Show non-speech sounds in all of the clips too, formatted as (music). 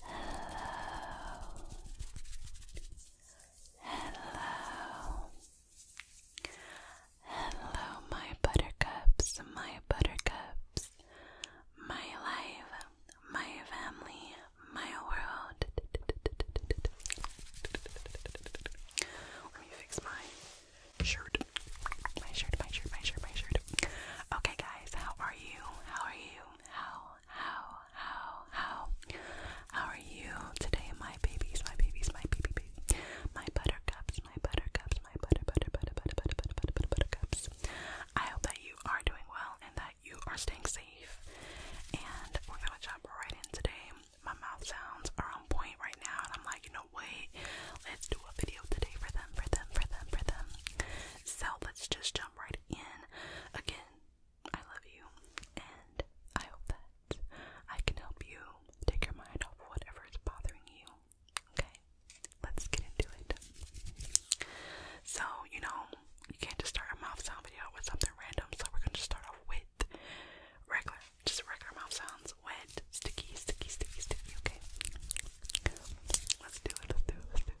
Hello. Hello. Hello, my buttercups, my buttercups, my life, my family, my world. Let me fix my shirt. My shirt, my shirt, my shirt, my shirt. Okay, guys, how are you? How are you? How how, how, how, how are you today, my babies, my babies, my baby, baby, my buttercups, my buttercups, my butter, butter, butter, butter, butter, butter, butter, butter buttercups. I hope that you are doing well and that you are staying safe. And we're gonna jump right in today. My mouth sounds are on point right now, and I'm like, you know, wait, let's do a video today for them, for them, for them, for them. So let's just jump right in. Again, I love you, and I hope that I can help you take your mind off whatever is bothering you. Okay, let's get into it. So, you know, you can't just start a mouth sound video with something random, so we're gonna just start off with regular, just regular mouth sounds with sticky, sticky, sticky, sticky, okay? Let's do it, let's do it, let's do it.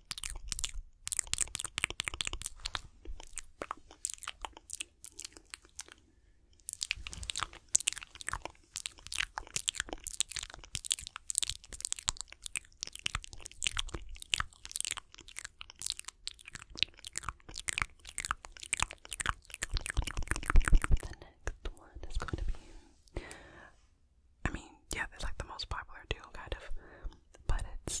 The next one is going to be I mean, yeah, it's like the most popular duo, kind of, but it's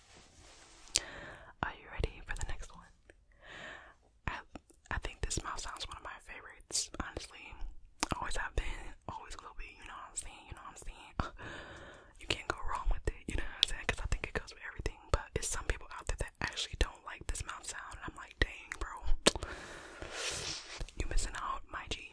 Are you ready for the next one? I I think this mouth sound's one of my favorites, honestly. Always have been, always will be, you know what I'm saying, you know what I'm saying? (sighs) you can't go wrong with it, you know what I'm saying? Because I think it goes with everything, but it's some people out there that actually don't like this mouth sound, and I'm like, dang, bro. You missing out, my G.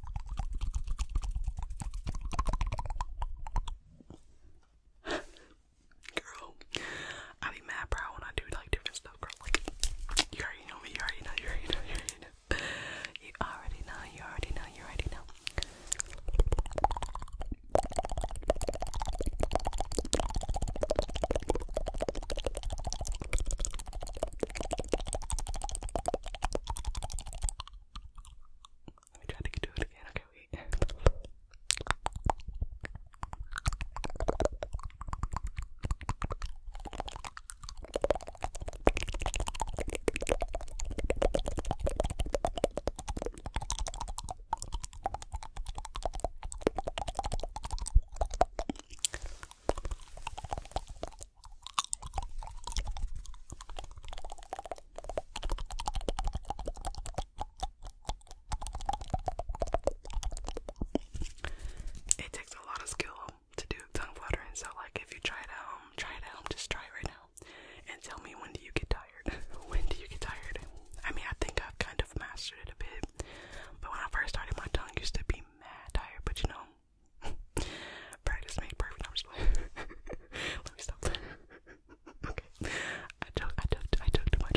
Girl, I be mad proud when I do like different stuff, girl. Like, you already know me, you already know, you already know, you already know. You already know, you already know, you already know. Let me try to do it again. Okay, wait. It takes a lot of skill to do tongue fluttering, so like if you try it try it just try right now. And tell me when do you get tired? (laughs) when do you get tired? I mean I think I've kind of mastered it a bit. But when I first started my tongue used to be mad tired, but you know, Practice (laughs) made perfect. I'm just (laughs) Let me stop. (laughs) okay, I took, I took, I took too much.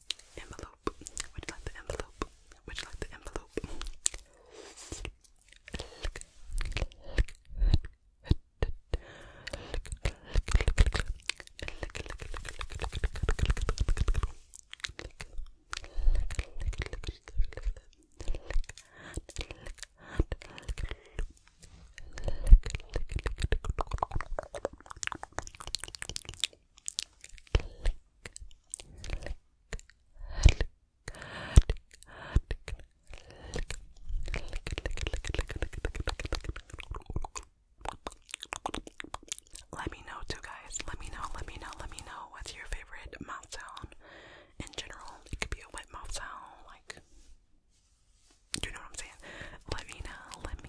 Envelope. Would you like the envelope? Would you like the envelope? Let me know two guys. Let me know, let me know, let me know what's your favorite mouth sound in general. It could be a wet mouth sound, like you know what I'm saying? Let me know, let me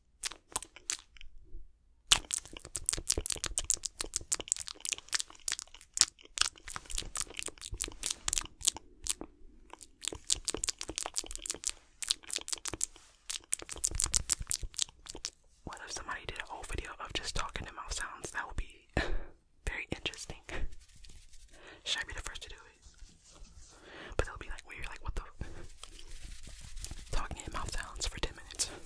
What if somebody did a whole video of just talking to mouth sounds? That would be (laughs) very interesting. (laughs) Should I be the first to do it? But they'll be like weird, like what the talking in mouth sounds for ten minutes.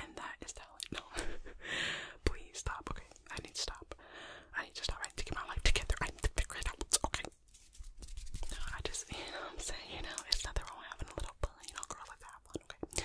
And that is telling. No, (laughs) please stop. Okay, I need to stop. I need to stop. I need to get my life together. I need to figure it out. Okay. No, I just, you know, what I'm saying, you know, it's nothing wrong with having a little fun. You know, girls like to have fun. Okay.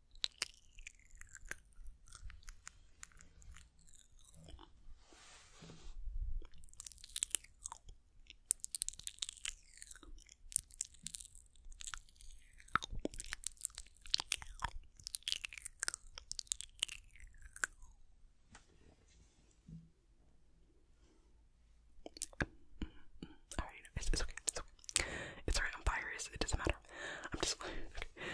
All right, it's, it's okay. It's okay. It's alright, I'm furious, it doesn't matter. I'm just okay. (laughs)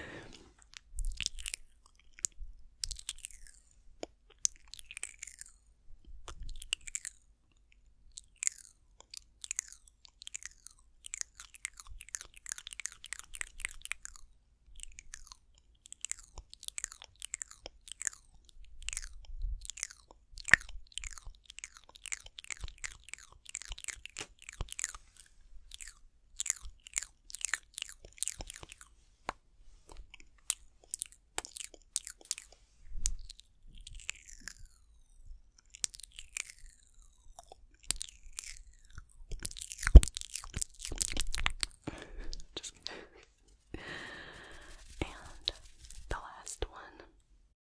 Just (laughs) and the last one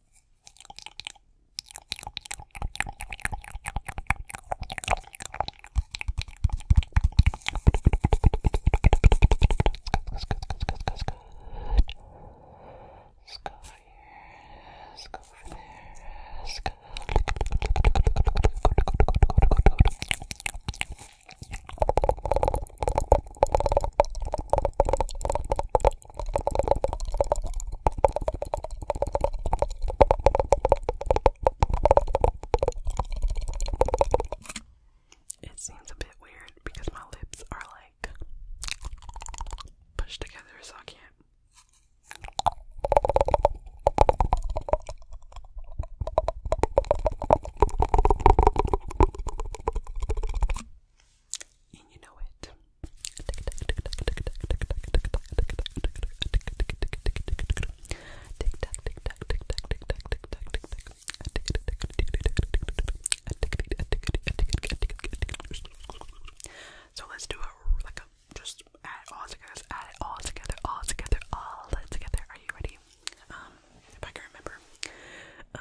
Let's go over here. Let's go over there. Let's go. It seems a bit weird because my lips are like pushed together, so I can't you know it. So let's do a like a just add it all together, add it all together, all together, all together. Are you ready? Um, if I can remember. Um,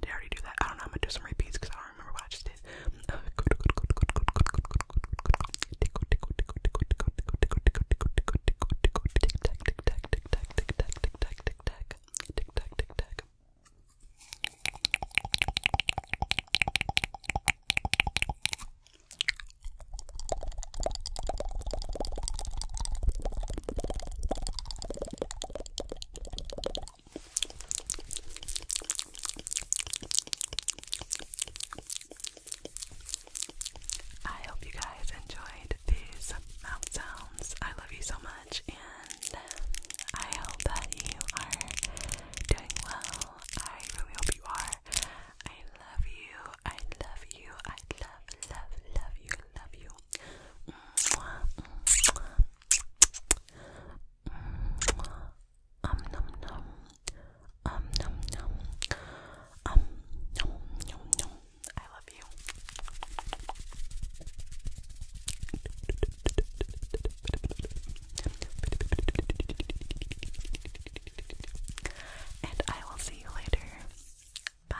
Did I already do that? I don't know. I'm gonna do some repeats because I don't remember what I just did. I hope you guys enjoyed these mouth sounds. I love you so much, and I hope that you are doing well. I really hope you are. I love you. I love you. I love, love, love you. Love you. Um nom nom. Um nom nom. Um nom nom nom. I love you. And I will see you later. Bye.